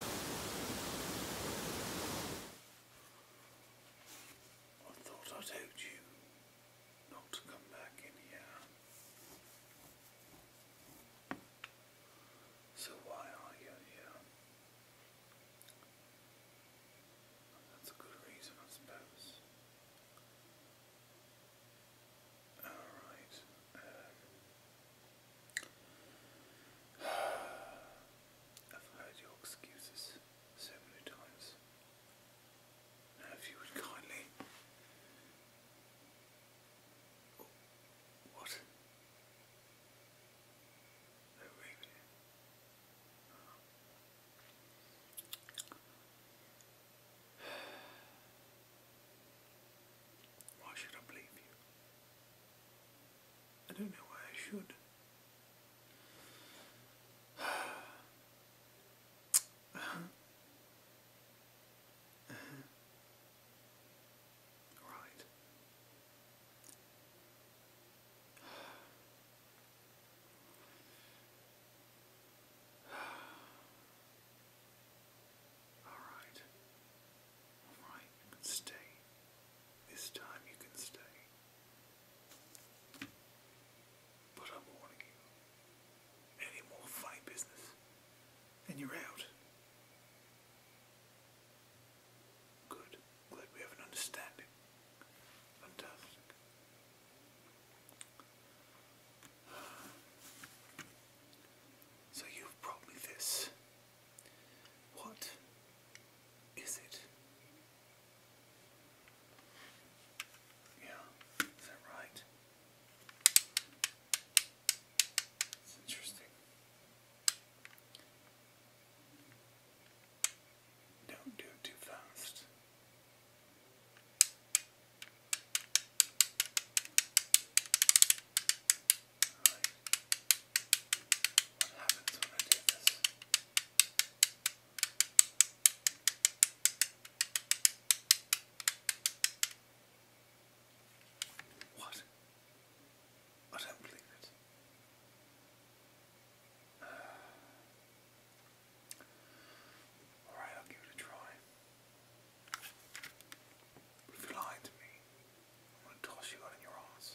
I thought I told you not to come back in here. So why are you here? That's a good reason, I suppose. Alright. Um, I've heard your excuses so many times. Now, if you would kindly. what? Why should I believe you? I don't know why I should. Right. All right. Alright, you can stay. This time you can stay. But I'm warning you. Any more funny business, and you're out. Good. Glad we have an understanding. Fantastic. So you've brought me this. What is it? Yeah, is that right? It's interesting. Don't do it too fast. What I do not believe it. Alright, I'll give it a try if you lied to me, I'm gonna toss you out in your ass.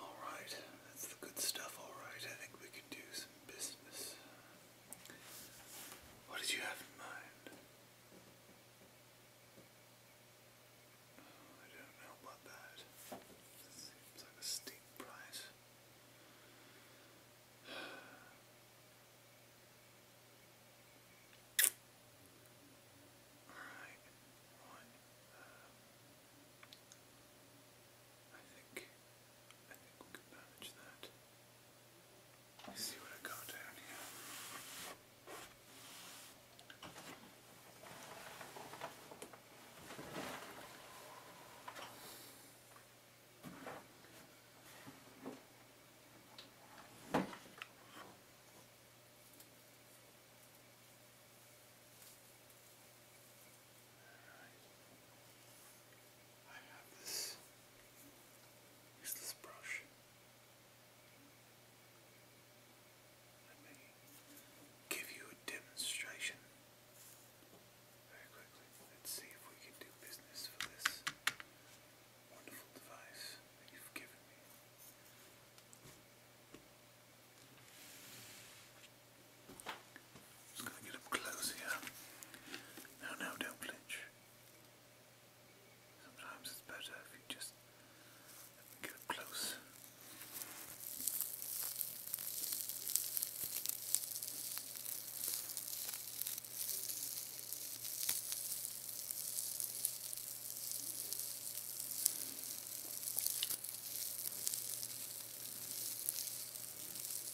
All right, that's the good stuff. All right, I think we can do some business. What did you have in mind? Oh, I don't know about that. seems like a steep price. Alright, right. Uh, I think I think we can manage that. Let's see what I got down here. I have this useless brush let me give you a demonstration very quickly. Let's see if we can do business for this wonderful device that you've given me. Just going to get up close here. No, no, don't flinch. Sometimes it's better if you just get up close.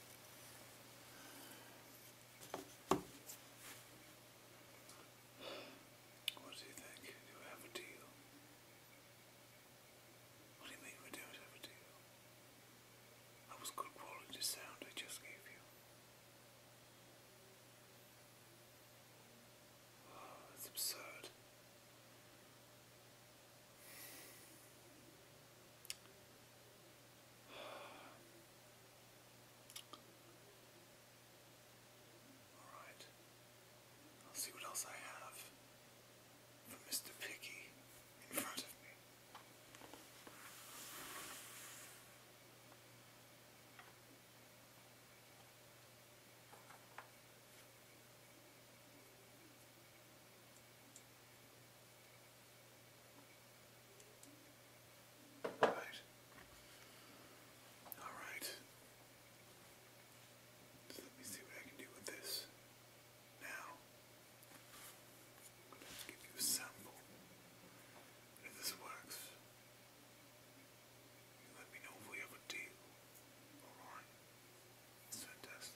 What do you think? Do have a deal? What do you mean we don't have a deal? That was good quality sound I just gave you. Oh, that's absurd. Alright. I'll see what else I have from Mr. Picky in front of me. Right. Alright. let me see what I can do with this now. Let's give you a sample. if this works, let me know if we have a deal. Alright. It's fantastic.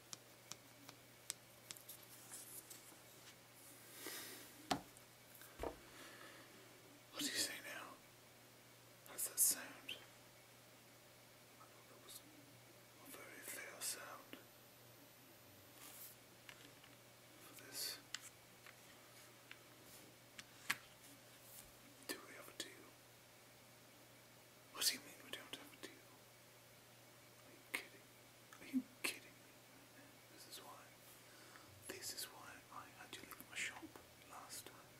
What do you say now? How's that sound? I thought that was a very fair sound for this. Do we have a deal? What do you mean we don't have a deal? Are you kidding? Are you kidding me? This is why. This is why I had you leave my shop last time.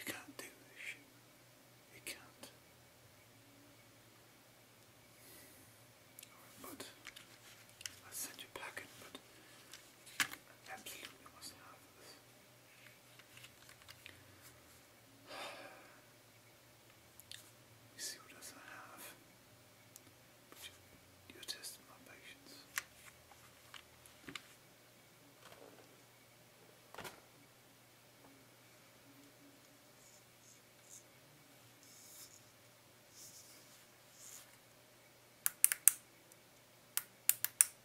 You can't do this shit. You can't. but I sent you a packet, but absolutely must have this. You see what else I have, but you're, are testing my patience.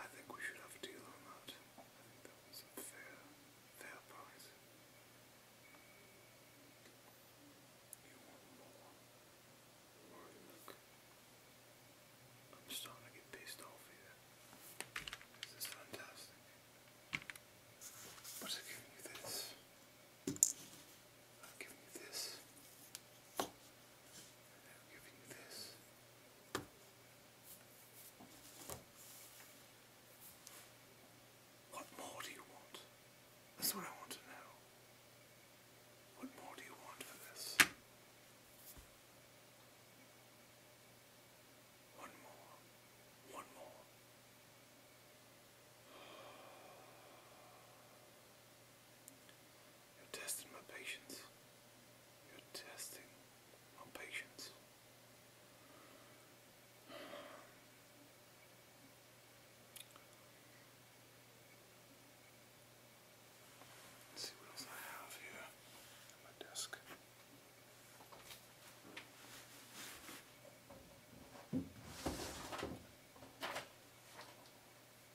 I think we should have a deal on that. I think that was a fair, price. You want more? Right, look. I'm starting to get pissed off here. This is fantastic. But I give you this. I'll give you this. And I'll give you this. What more do you want? That's what I want to know. What more do you want for this? One more. One more. You're testing my patience. You're testing my patience. see what else I have here on my desk.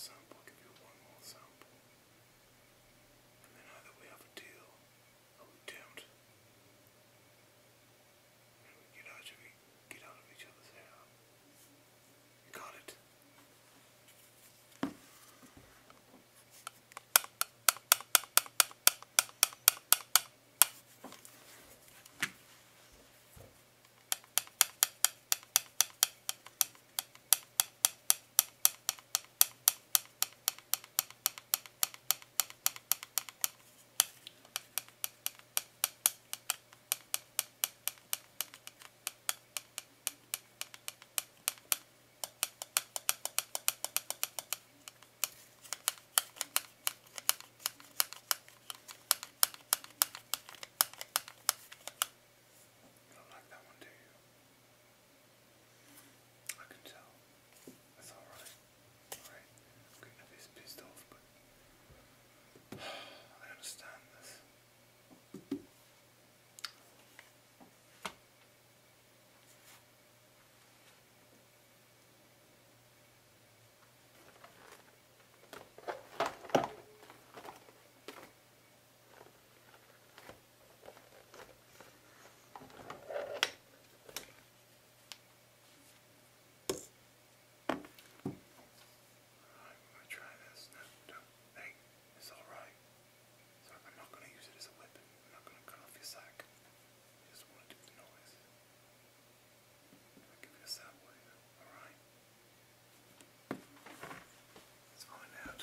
sample, give you one more sample. And then either we have a deal I'm we get out of we get out of each other's hair? Got it. I don't like that one, do you? I can tell. That's alright. Alright. I'm getting a bit pissed off, but I understand this. I'm gonna try this. No, don't. Hey, it's alright. I'm not gonna use it as a weapon. I'm not gonna cut off your sack. just wanna do the noise. give this that way, alright? Let's find out.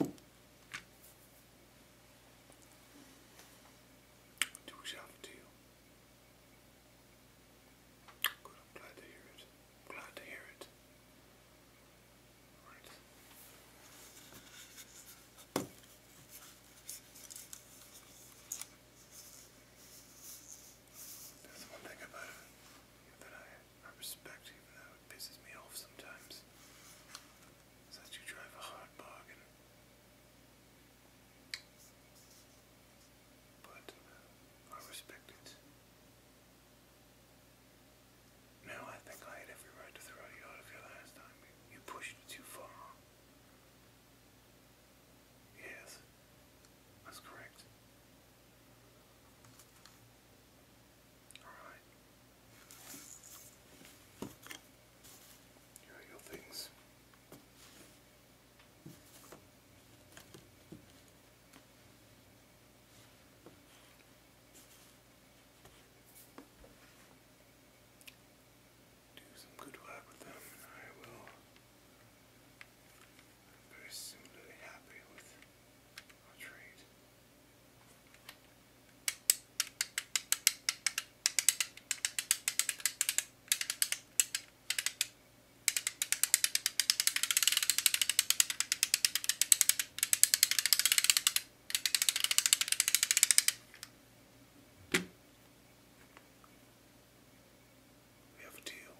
Do we have to? glad to hear it. glad to hear it. Right. one thing about it that I I respect, even though it pisses me off sometimes, is you drive a hard bargain. But uh, I respect it. No, I think I had every right to throw you out of here last time. You pushed it too far. Yes, that's correct. Alright. Here your things. Do some good work with them, and I will. I'm very happy with our trade. We have a deal.